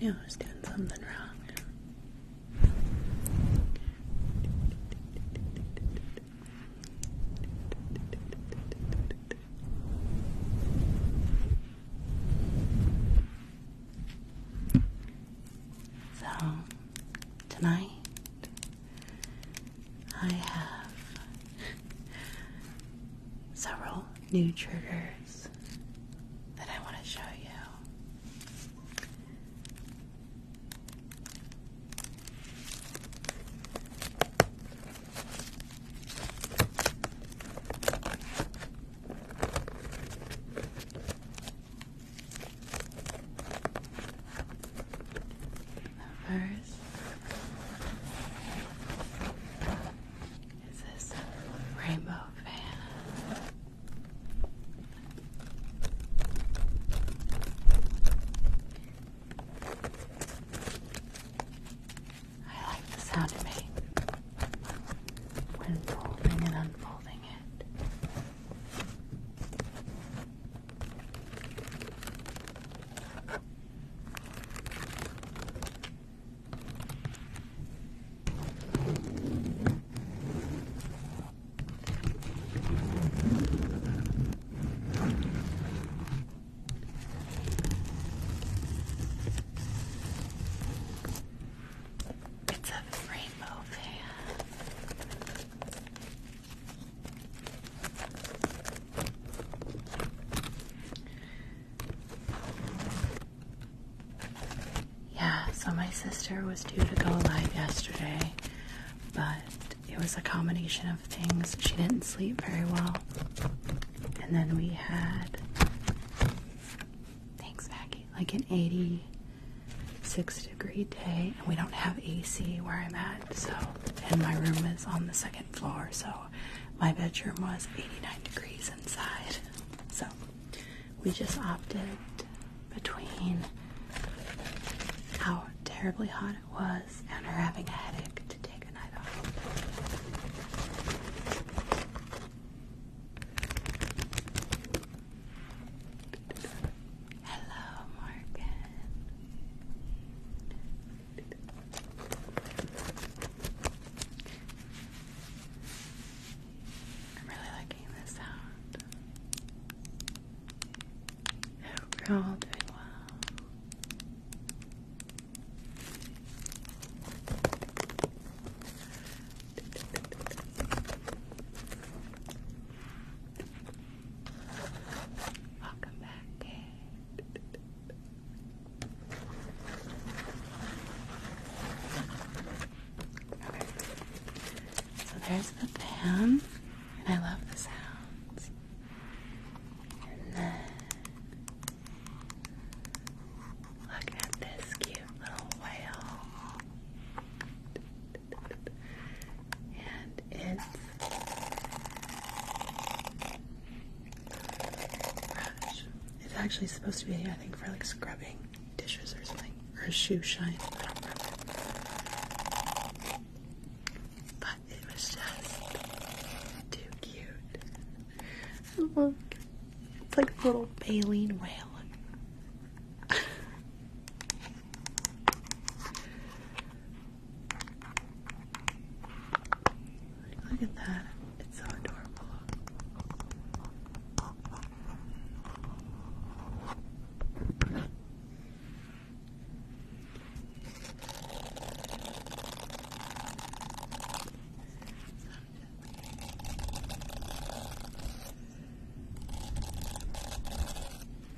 I knew I was doing something wrong. So, tonight I have several new triggers that I want to show you. First is this rainbow van? I like the sound it when folding and unfolding it's a frame yeah, so my sister was due to go live yesterday, but it was a combination of things. She didn't sleep very well. And then we had Thanks, Maggie. Like an 86 degree day, and we don't have AC where I'm at, so, and my room is on the second floor, so my bedroom was 89 degrees inside. So we just opted between how terribly hot it was and her having a headache to take a night off. Hello, Morgan. I'm really liking this sound. hope you're all doing well. Welcome back. So there's the pan, and I love the sounds. Look at this cute little whale. And it's brush. It's actually supposed to be, I think, for like scrubbing dishes or something. Or a shoe shine. But it was just too cute. Look it's like a little baleen whale. Look at that. It's so adorable.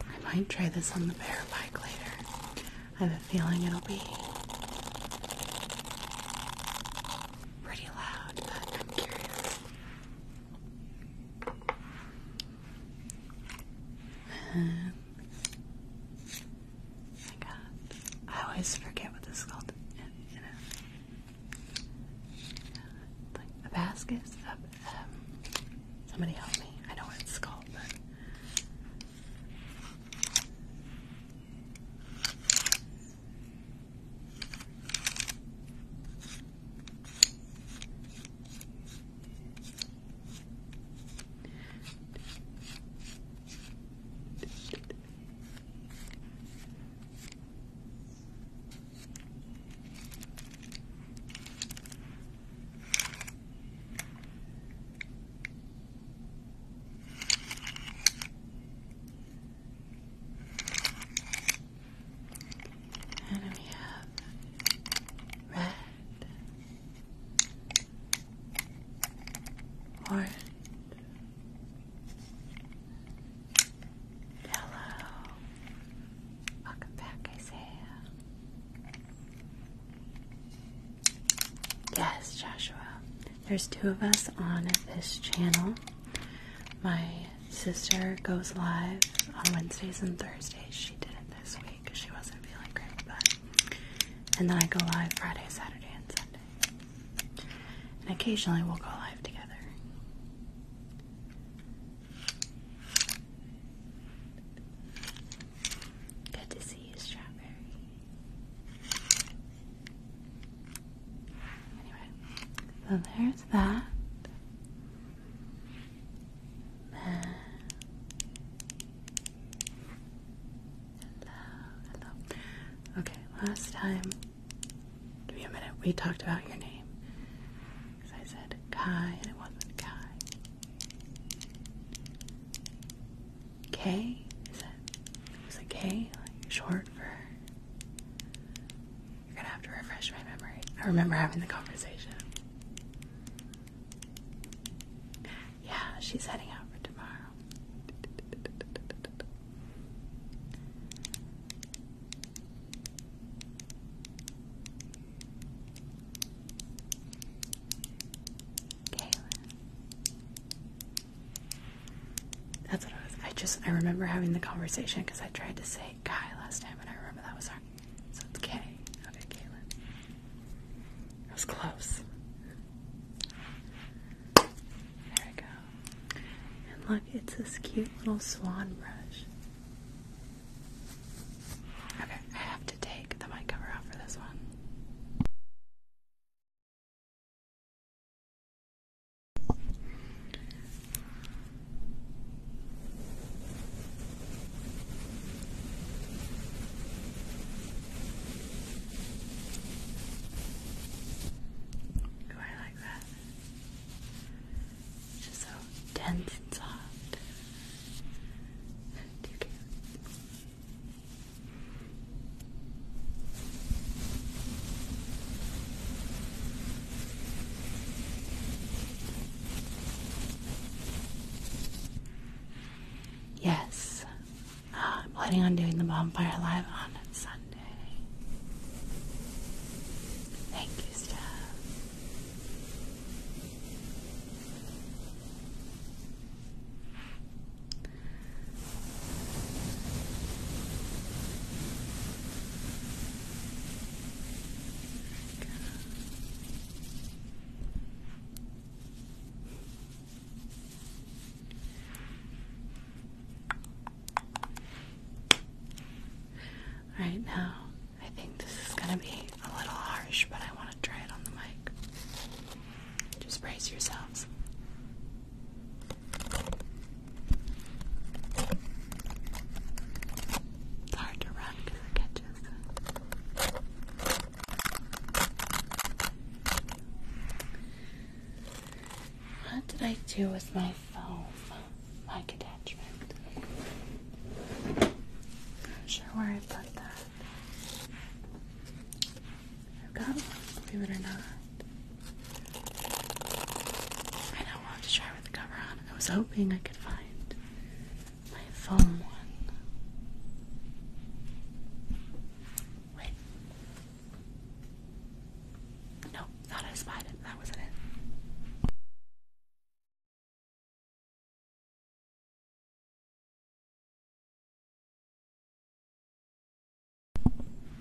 I might try this on the bear bike later. I have a feeling it'll be pretty loud, but I'm curious. And I got. I always forget what this is called like Hibiscus. Um, somebody help me. I know what it's called, but. And we have red, orange, Hello. Welcome back, Isaiah. Yes, Joshua. There's two of us on this channel. My sister goes live on Wednesdays and Thursdays. She did it this week because she wasn't feeling great, but and then I go live Friday, Saturday, and Sunday. And occasionally we'll go live together. Good to see you, Strawberry. Anyway, so there's that. Hello, hello. Okay, last time Give me a minute. We talked about your name. Because I said Kai and it wasn't Kai. K? Is it? Was it K? short for. You're gonna have to refresh my memory. I remember having the conversation. Yeah, she's heading out for tomorrow. Kayla. That's what I was. I just I remember having the conversation because I tried to say Kai last time, and I remember that was her. So it's Kay. Okay, Kayla. I was close. There we go. And look, it's this cute little swan brush. Okay, I have to take the mic cover off for this one. Oh, I like that. Just so dense and soft. Too cute. Yes, I'm planning on doing the bonfire live on Sunday. Thank you, Steph. There Right now, I think this is going to be a little harsh, but I want to try it on the mic. Just brace yourselves. hard to run because it catches. What did I do with my foam like attachment. Not sure where I put that. I've got one, believe it or not. I know I'll to try with the cover on. I was hoping I could find my foam one. Wait. Nope not a spider. That wasn't it.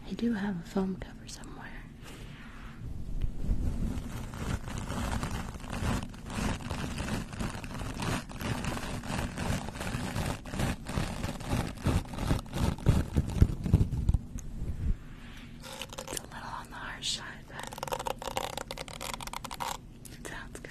I do have a foam cover somewhere on the harsh side, but sounds good.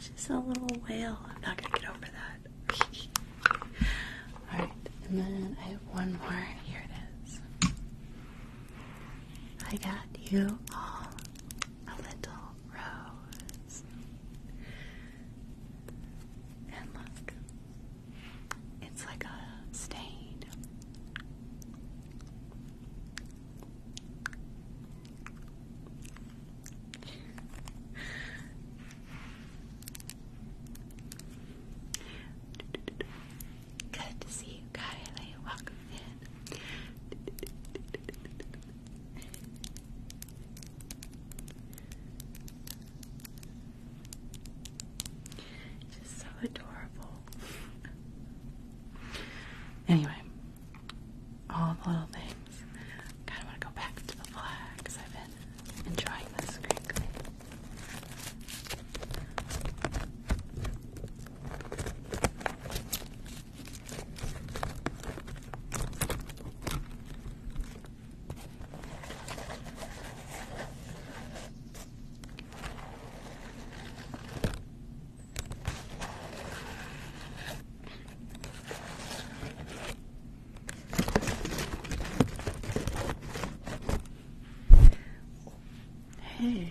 She's a little whale. I'm not gonna get over that. All right, and then I have one more. Here it is. I got you all a little rose. And look, it's like a stain. Good to see you, Kylie. Welcome in. Just so adorable. Anyway, all the little things. Kind of want to go back to the flag because I've been enjoying this crinkling. Hey.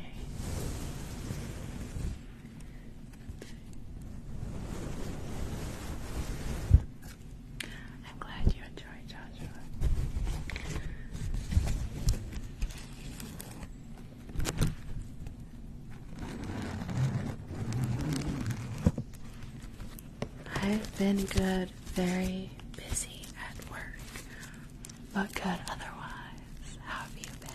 I'm glad you enjoyed Joshua. I've been good, very busy at work, but good otherwise. How have you been?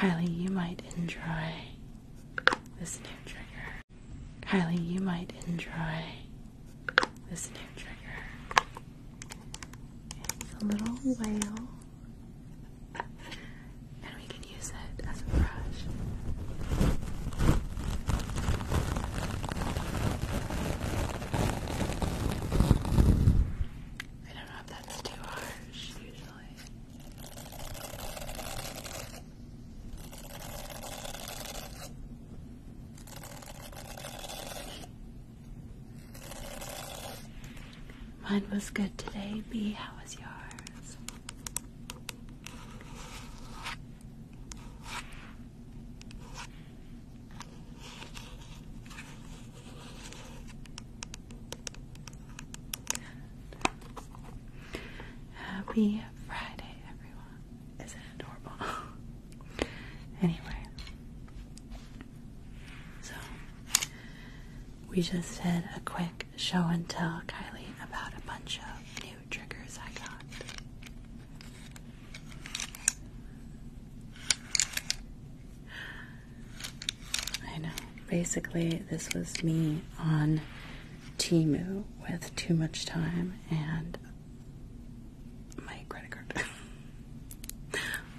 Kylie, you might enjoy this new trigger. Kylie, you might enjoy this new trigger. It's a little whale, and we can use it as a brush. I don't know if that's too harsh usually. Mine was good today. B, how was yours? Happy Friday, everyone is it adorable? anyway, so we just did a quick show and tell Kylie about a bunch of new triggers I got. I know. Basically, this was me on Timu with too much time and my credit card.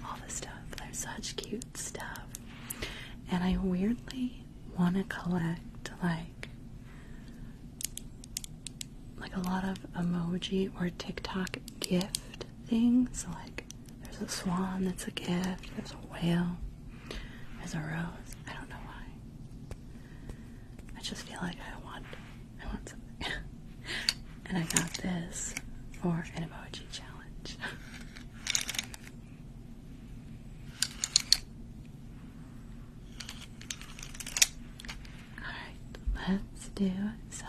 All this stuff. There's such cute stuff. And I weirdly want to collect like like a lot of emoji or TikTok gift things. Like there's a swan that's a gift. There's a whale. There's a rose. I don't know why. I just feel like I want I want something. and I got this for an emoji challenge. Alright, let's do some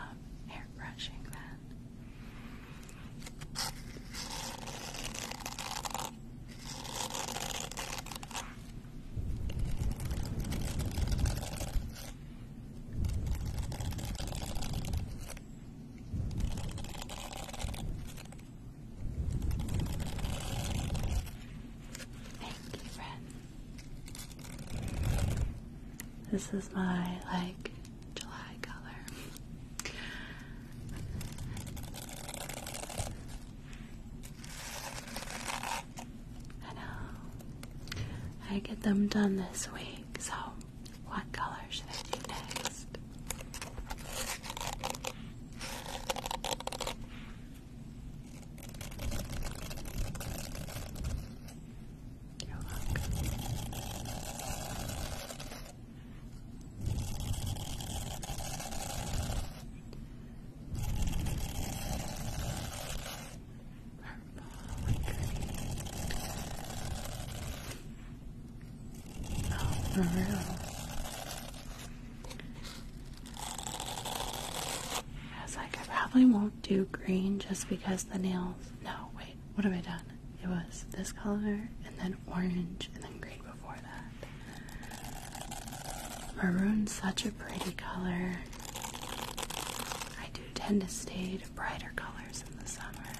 hair then. Thank you, This is my like July color. I know. I get them done this week, so what color should I do next? Purple and green. Oh, maroon. I was like, I probably won't do green just because the nails. No, wait, what have I done? It was this color and then orange and then green before that. Maroon's such a pretty color. I do tend to stay to brighter colors in the summer.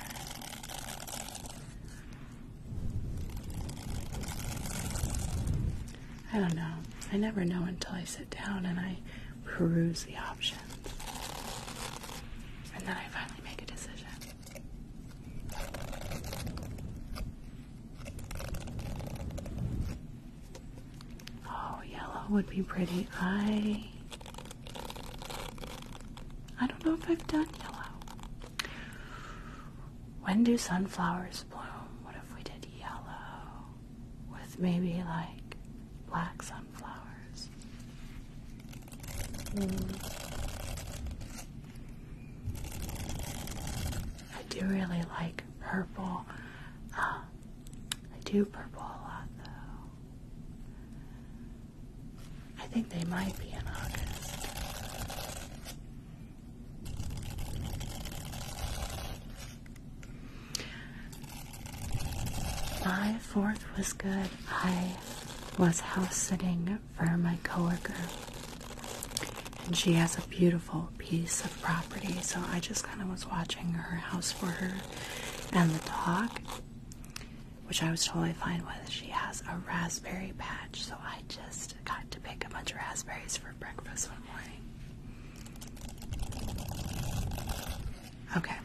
I don't know. I never know until I sit down and I peruse the options. And then I finally make a decision. Oh, yellow would be pretty. I I don't know if I've done yellow. When do sunflowers bloom? What if we did yellow with maybe like black sunflowers? Hmm. I do really like purple. Um, I do purple a lot though. I think they might be in August. My fourth was good. I was house sitting for my coworker and she has a beautiful piece of property. So I just kind of was watching her house for her and the dog, which I was totally fine with. She has a raspberry patch, so I just got to pick a bunch of raspberries for breakfast one morning. Okay,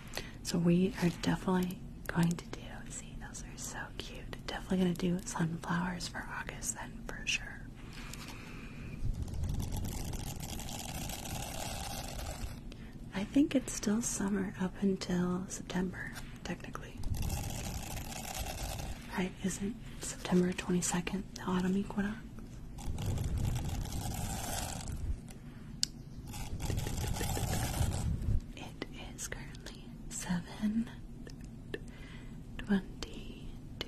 so we are definitely going to do. See, those are so cute. Definitely going to do sunflowers for August then for sure. I think it's still summer up until September, technically. Right, isn't September 22nd the autumn equinox? It is currently seven twenty two.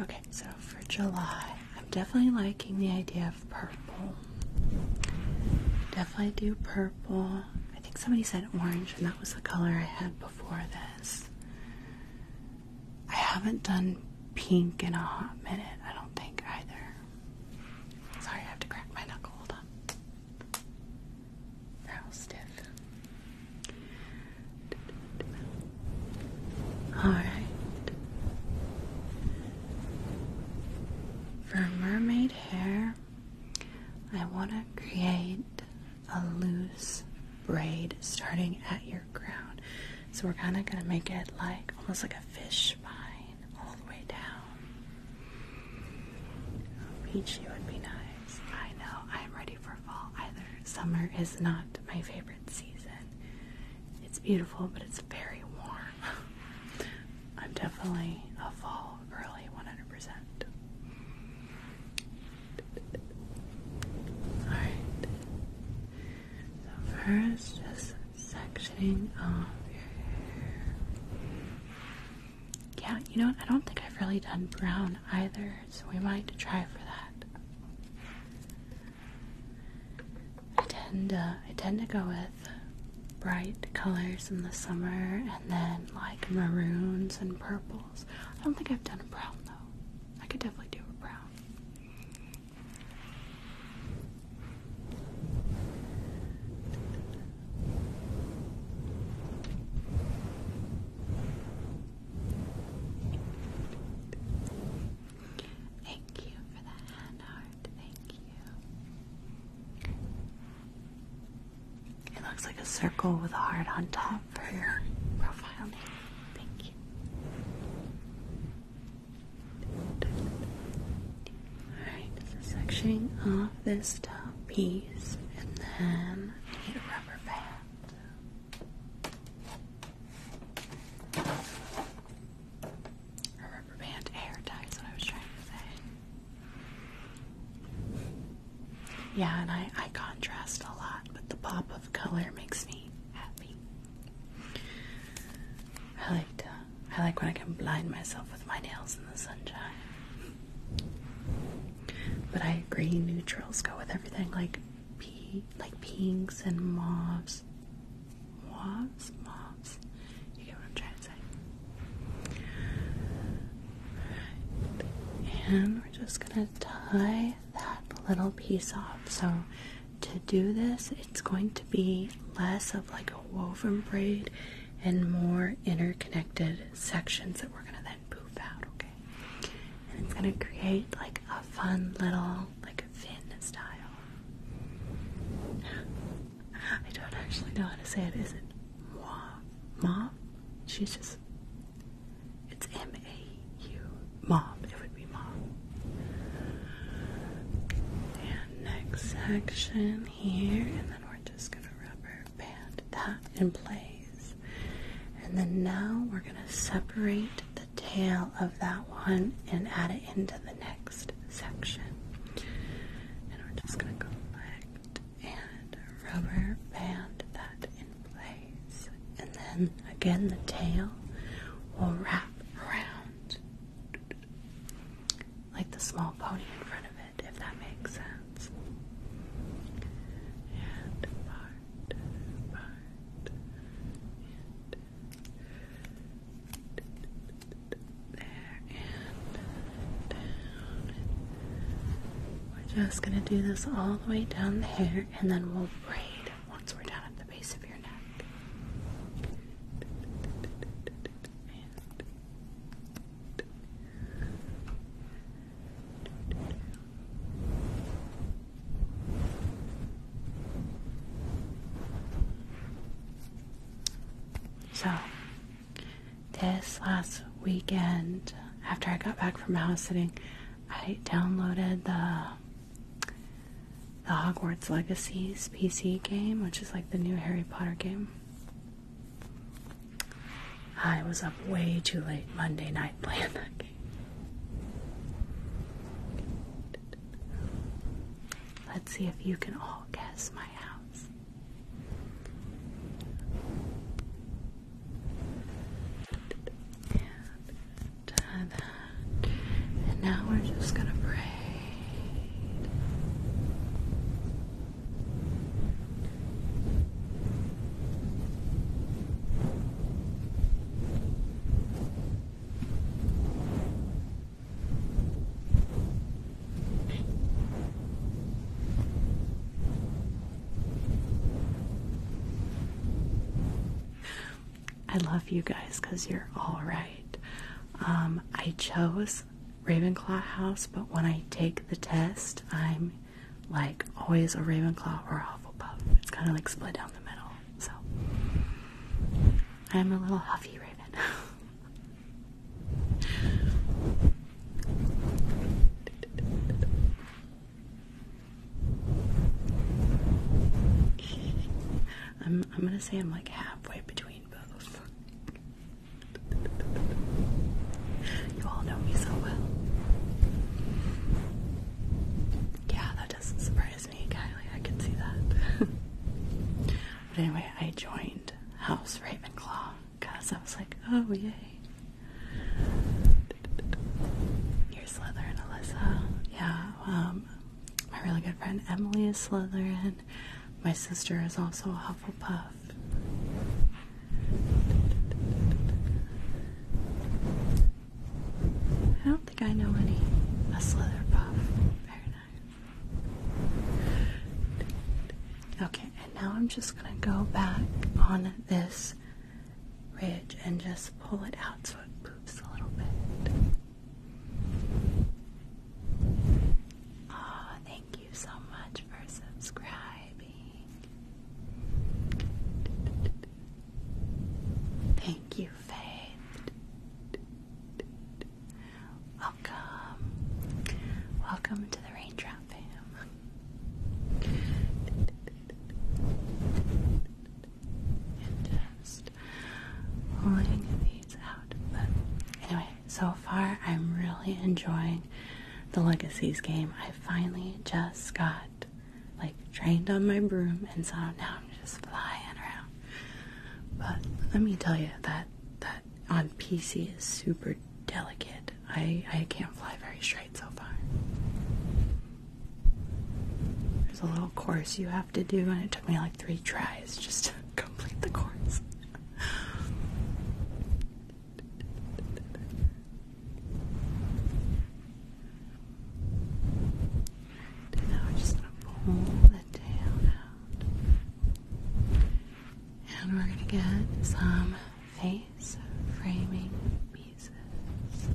Okay, so for July, I'm definitely liking the idea of purple. Definitely do purple. I think somebody said orange, and that was the color I had before this. I haven't done pink in a hot minute, I don't think either. Sorry, I have to crack my knuckle. Hold on. Alright. For mermaid hair, I want to create a loose braid starting at your crown. So we're kind of going to make it like almost like a fish spine all the way down. peachy would be nice. I know. I'm ready for fall either. Summer is not my favorite season. It's beautiful, but it's very warm. I'm definitely a fall early 100%. Alright. So, first, just sectioning off your hair. Yeah, you know, what? I don't think I've really done brown either words. We might try for that. I tend to, uh, I tend to go with bright colors in the summer, and then like maroons and purples. I don't think I've done a brown though. I could definitely do a brown. Thank you for that heart. Thank you. It looks like a circle with a heart on top for your profile name. Thank you. Alright, so sectioning off this top piece and then need a rubber band. A rubber hair tie is what I was trying to say. Yeah, and I, I contrast a lot, but the pop of color makes me happy. I like to, I like when I can blind myself with my nails in the sunshine. But I agree, neutrals go with everything like p like pinks and mauves. Mauves? Mauves. You get what I'm trying to say. And we're just gonna tie that little piece off. So to do this, it's going to be less of like a woven braid and more interconnected sections that we're gonna then poof out, Okay. And it's gonna create like a fun little like a fin style. I don't actually know how to say it. Is it mauve? Mauve? She's just. It's M A U. Mom. It would be mauve. And next section here, and then we're just gonna wrap her band that in place. And then now we're going to separate the tail of that one and add it into the next section. And we're just going to go back and rubber band that in place. And then again, the tail will wrap around like the small pony in front of it, if that makes sense and part, part, and there and down. We're just gonna do this all the way down the hair, and then we'll braid once we're down at the base of your neck. So, this last weekend, after I got back from house sitting, I downloaded the the Hogwarts Legacies PC game, which is like the new Harry Potter game. I was up way too late Monday night playing that game. Let's see if you can all guess my house. And, now we're just gonna braid. I love you guys because you're all right. Um, I chose Ravenclaw House, but when I take the test, I'm like always a Ravenclaw or a Hufflepuff. It's kind of like split down the middle. So I'm a little huffy raven. I'm I'm gonna say I'm like halfway between both. You all know me so well. Yeah, that doesn't surprise me, Kylie. I can see that. but anyway, I joined House Ravenclaw because I was like, oh, yay. Here's Slytherin, Alyssa. Yeah, um, my really good friend Emily is Slytherin. My sister is also a Hufflepuff. I don't think I know any. A Slitherpuff. Very nice. Okay, and now I'm just gonna go back on this ridge and just pull it out so it poops a little bit. Ah, thank you so much for subscribing. Thank you, Faith. Welcome. Welcome to the Raindrop Fam. And just pulling these out. But anyway, so far I'm really enjoying the Legacies game. I finally just got like trained on my broom, and so now I'm just flying around. But let me tell you that that on PC is super delicate. I I can't fly very straight so far. There's a little course you have to do, and it took me like three tries just to complete the course. And now we're just going to pull the tail out. And we're going to get some face framing pieces.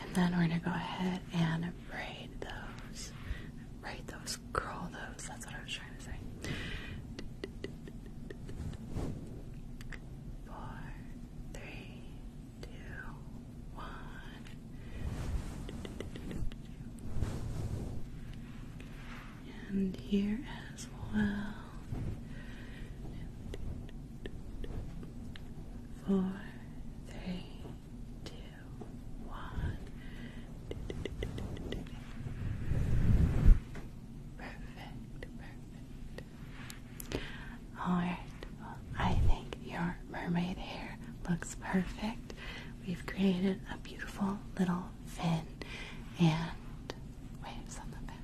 And then we're going to go ahead and braid those. Braid those scroll those. That's what I was trying to say. Four, three, two, one. And here as well. Four, three, two, one. Perfect, Alright, I think your mermaid hair looks perfect. We've created a beautiful little fin and waves on the back.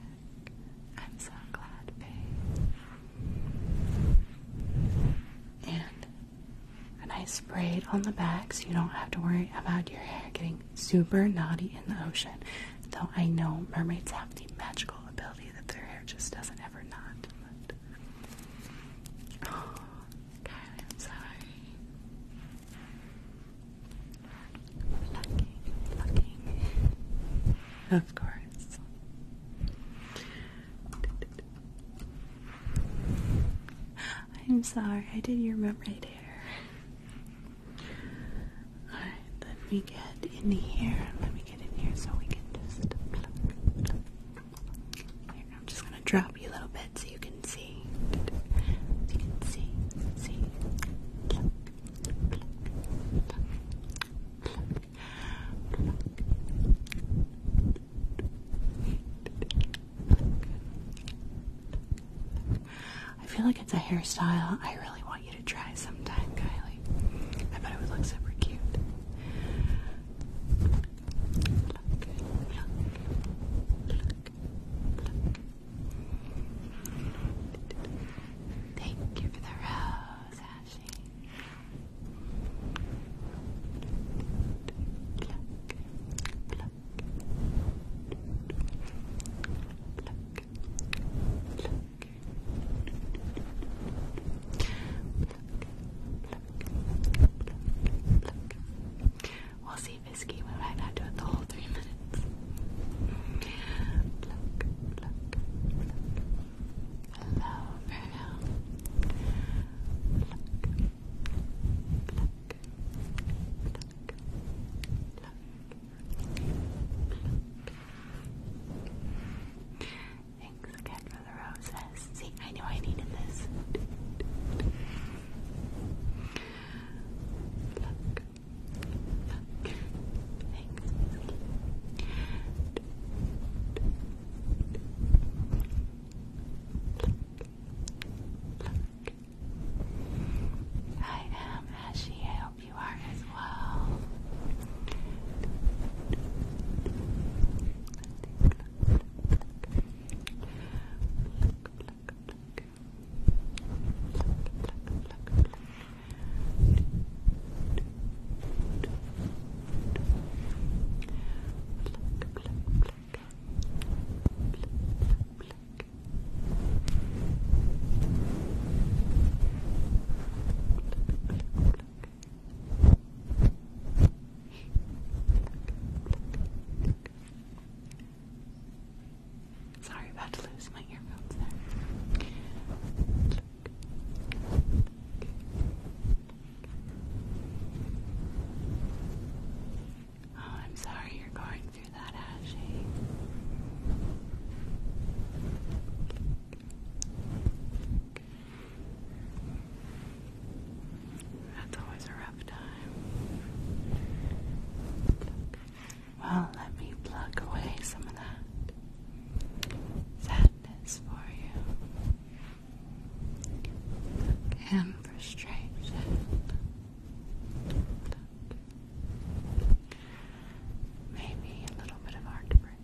I'm so glad, And and I sprayed on the back so you don't have to worry about your hair getting super naughty in the ocean. Though I know mermaids have the magical ability that their hair just doesn't ever knot. Oh, God, I'm sorry. Plucking, plucking. Of course. I'm sorry, I did your remember right here. Alright, let me get in here. Let me get in here so we can just I'm just gonna drop you a little bit so you can see. you can see, see. I feel like it's a hairstyle I really want you to try sometime, Kylie. I bet it would look super cute. Thank you for the rose, Ashley. We'll see if it's cute. We're not now doing the whole three minutes. Hello, Virgo. Thanks again for the roses. See, I knew I needed this. Look. I am Ashy. I hope you are as well. Pluck. Pluck. Sorry about to lose my earphones there. Oh, I'm sorry you're going through that, Ashley. That's always a rough time. Well, let me pluck away some of that sadness for you and frustration. Maybe a little bit of heartbreak.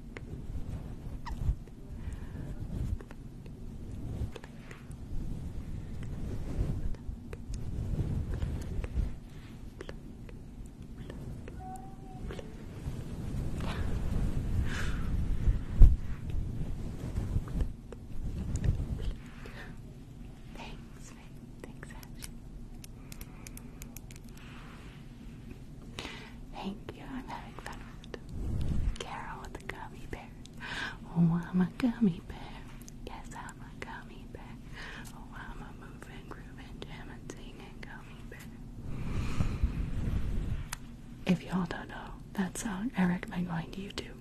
Thanks, thanks, Thank you, I'm having fun Carol with the gummy bear. Oh, I'm a gummy bear. Yes, I'm a gummy bear. Oh, I'm a moving, grooving, jamming, singing gummy bear. If y'all don't know, that's song. Uh, I recommend going to YouTube.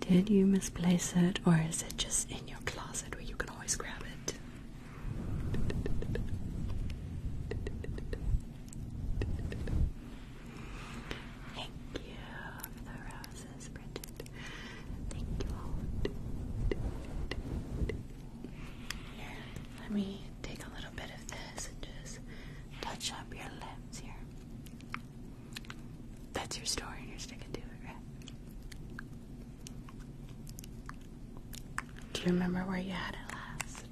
Did you misplace it, or is it just in your closet where you can always grab it? Thank you for the roses, Bridget. Thank you let me take a little bit of this and just touch up your lips here. That's your story, and you're sticking to it, Do you remember where you had it last?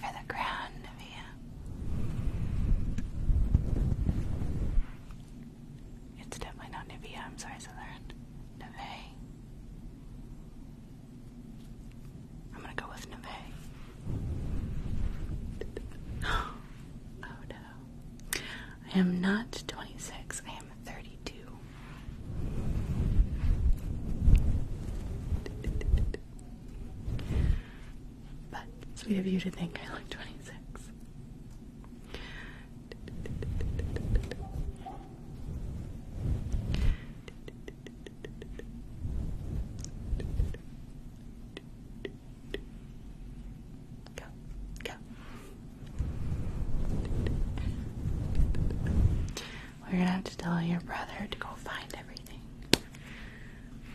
for the crown, Nivea. It's definitely not Nivea, I'm sorry, Southern. Nivea. I'm gonna go with Nivea. oh no. I am not 26, I am 32. But sweet of you to think I look 26. Go, go. We're gonna have to tell your brother to go find everything.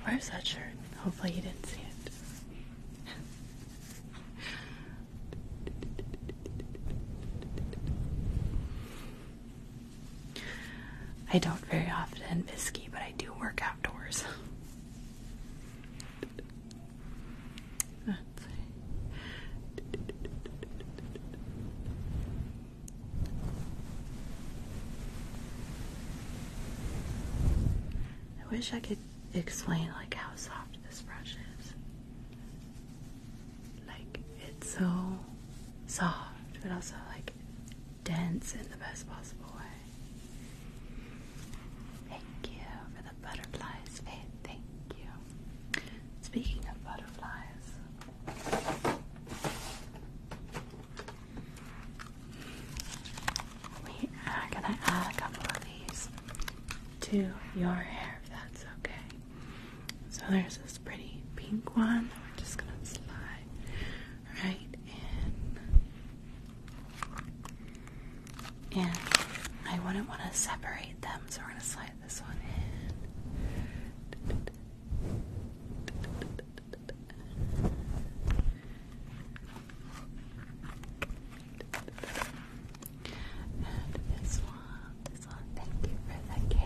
Where's that shirt? Hopefully, you didn't see it. I don't very often visky, but I do work outdoors. I wish I could explain like how soft this brush is. Like it's so soft, but also like dense in the best possible way. Thank you for the butterflies, Faith. Thank you. Speaking of butterflies, we are gonna add a couple of these to your hair if that's okay. So there's this pretty pink one we're just gonna slide right in. And I wouldn't want to separate them, so we're gonna slide this one in. And this one, this one, thank you for the cake.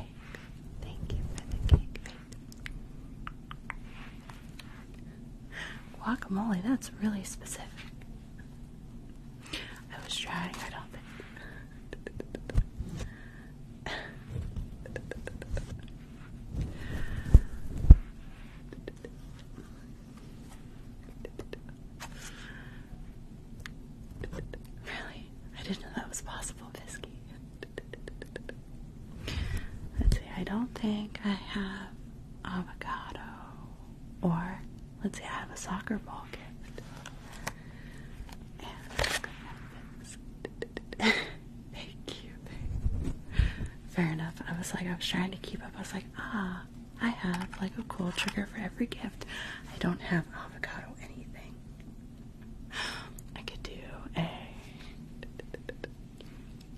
Thank you for the cake. Guacamole, that's really specific. I was trying, I don't think really? I didn't know that was possible, Fisky. Let's see, I don't think I have avocado. Or, let's see, I have a soccer ball gift. Fair enough. I was like, I was trying to keep up. I was like, ah, I have like a cool trigger for every gift. I don't have avocado anything. I could do a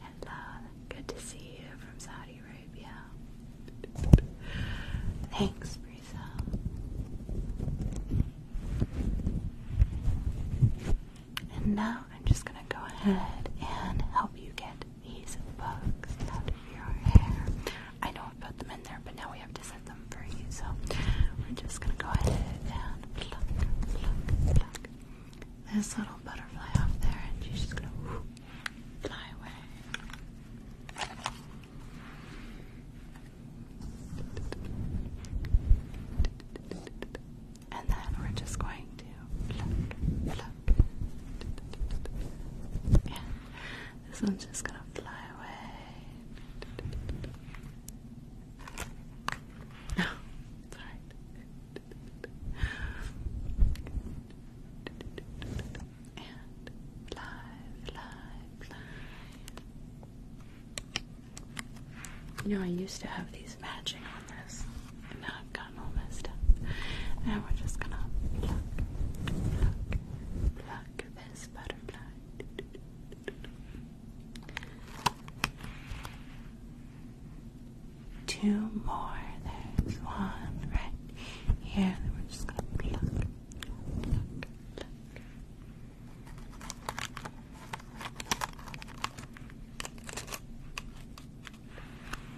hello, good to see you from Saudi Arabia. Thanks, Brisa. And now I'm just going to go ahead and help you get these bugs out of your hair. I know I put them in there, but now we have to set them free. So we're just going to go ahead and pluck, pluck, pluck this little butterfly off there, and she's just going to fly away. And then we're just going to pluck, pluck. Yeah. This one's just gonna fly away. No, it's And fly, fly, fly. You know, I used to have these matching on this, and now I've gotten all messed up. Now we're just gonna pluck, pluck, pluck this butterfly. Two more. There's one right here. we're just gonna pluck, pluck, pluck.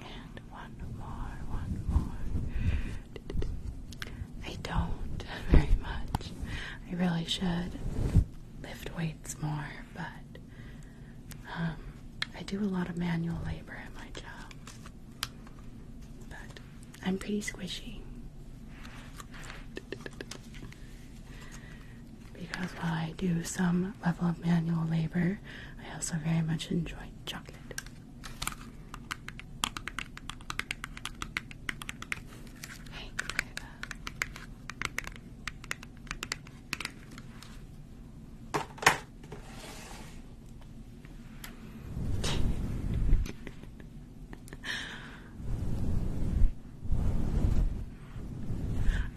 And one more, one more. I don't very much. I really should lift weights more, but um, I do a lot of manual labor at my job. But I'm pretty squishy because while I do some level of manual labor, I also very much enjoy chocolate.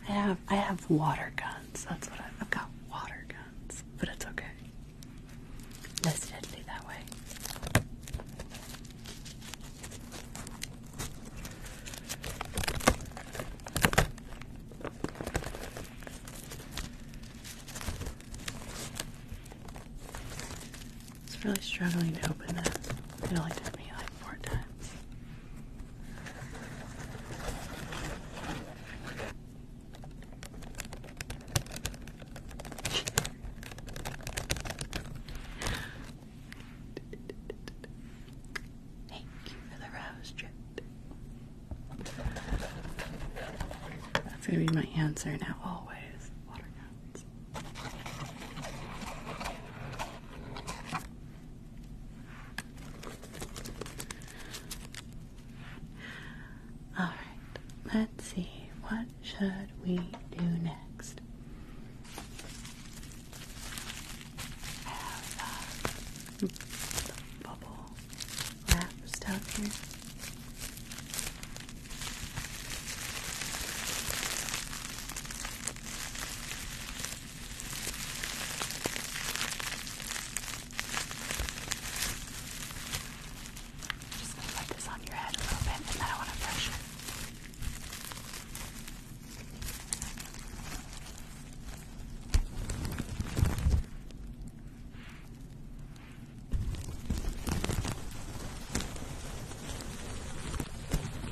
I have I have water guns. That's what I've, got. Water guns, but it's okay. Less deadly that way. It's really struggling to open that. It only took me like four times. Thank for the rose That's gonna be my answer now always. All right, let's see. What should we do next? have uh, bubble wrap stuff just gonna put this on your head a little bit, and then I want to brush it. Okay,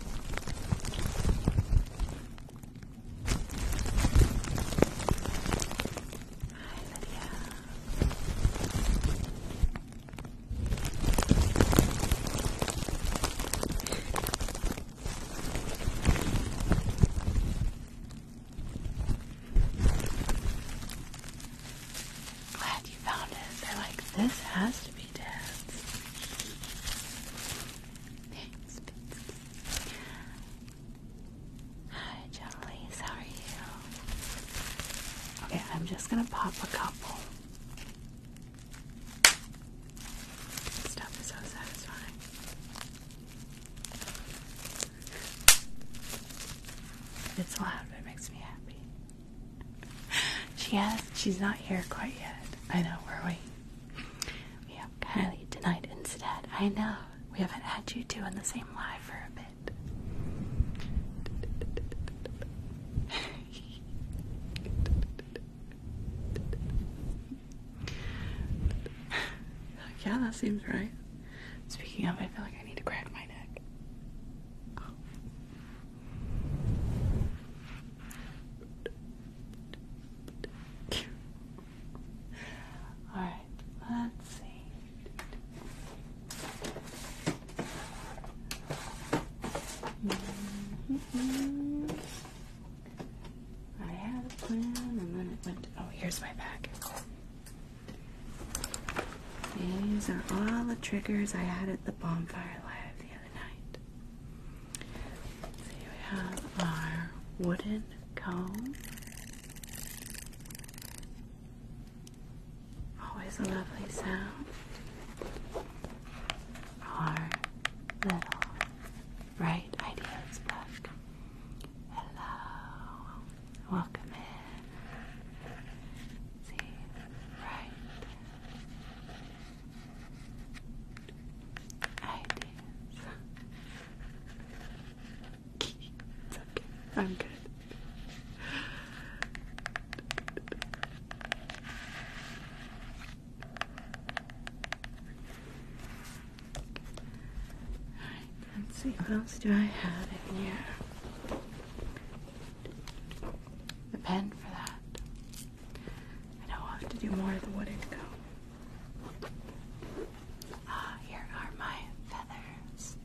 Lydia. Glad you found it. They're like, this has Hi, Jollies, how are you? Okay, I'm just gonna pop a couple. This stuff is so satisfying. It's loud, but it makes me happy. she has. She's not here quite yet. I know. We're waiting. We have Kylie tonight instead. I know. We haven't had you two in the same live for a bit. yeah, that seems right. Speaking of, I feel like I need to grab my neck. All right, let's see. Mm-hmm. I had a plan and then it went. Oh, here's my bag. These are all the triggers I had at the bonfire live we have our wooden comb. Always a lovely sound. Our little bright ideas book. Hello, welcome in. See, right ideas. okay. I'm good. let's see what else do I have in here. The pen for that. I know I'll have to do more of the wooden Ah, here are my feathers.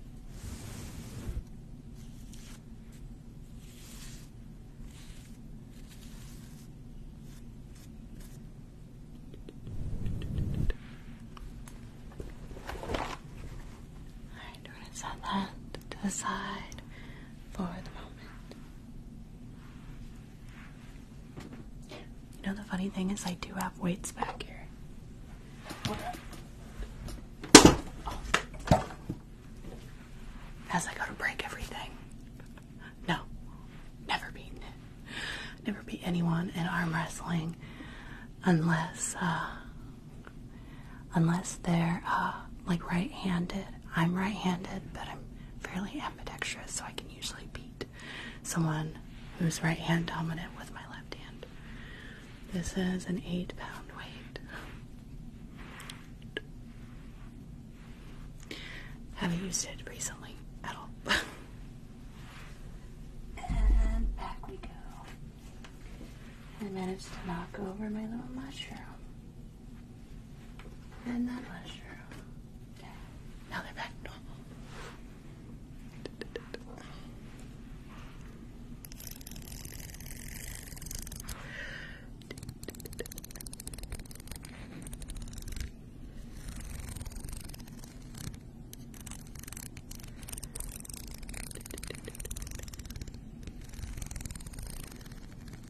Alright, we're going to set that to the side for the moment. You know, the funny thing is, I do have weights back here. As I go to break everything. No, never beaten Never beat anyone in arm wrestling unless uh, unless they're uh, like right-handed. I'm right-handed, but I'm fairly ambidextrous, so I can usually beat someone who's right hand dominant with my left hand. This is an eight pound weight. Haven't used it recently at all. and back we go. I managed to knock over my little mushroom. And that was true. Okay. Now they're back normal.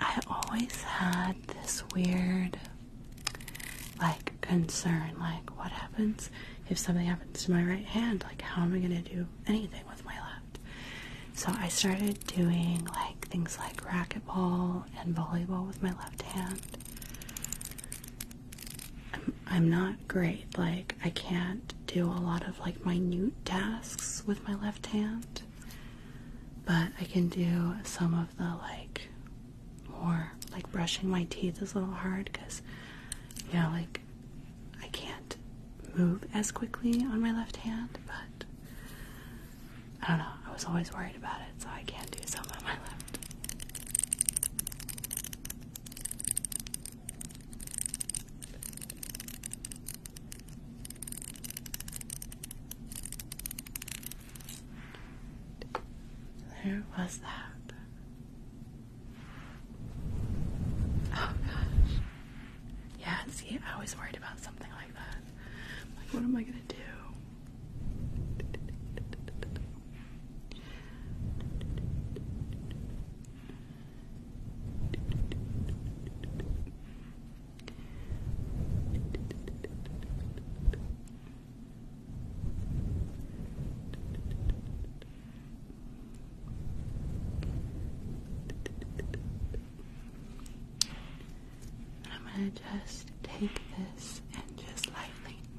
I always had this weird like concern like what happens if something happens to my right hand like how am I going to do anything with my left so I started doing like things like racquetball and volleyball with my left hand I'm, I'm not great like I can't do a lot of like minute tasks with my left hand but I can do some of the like more like brushing my teeth is a little hard because you know like I can't move as quickly on my left hand, but I don't know. I was always worried about it, so I can't do some on my left. Where was that? Oh gosh. Yeah, see, I was worried about something like that. Like, what am I gonna do? And I'm going to just take this and just lightly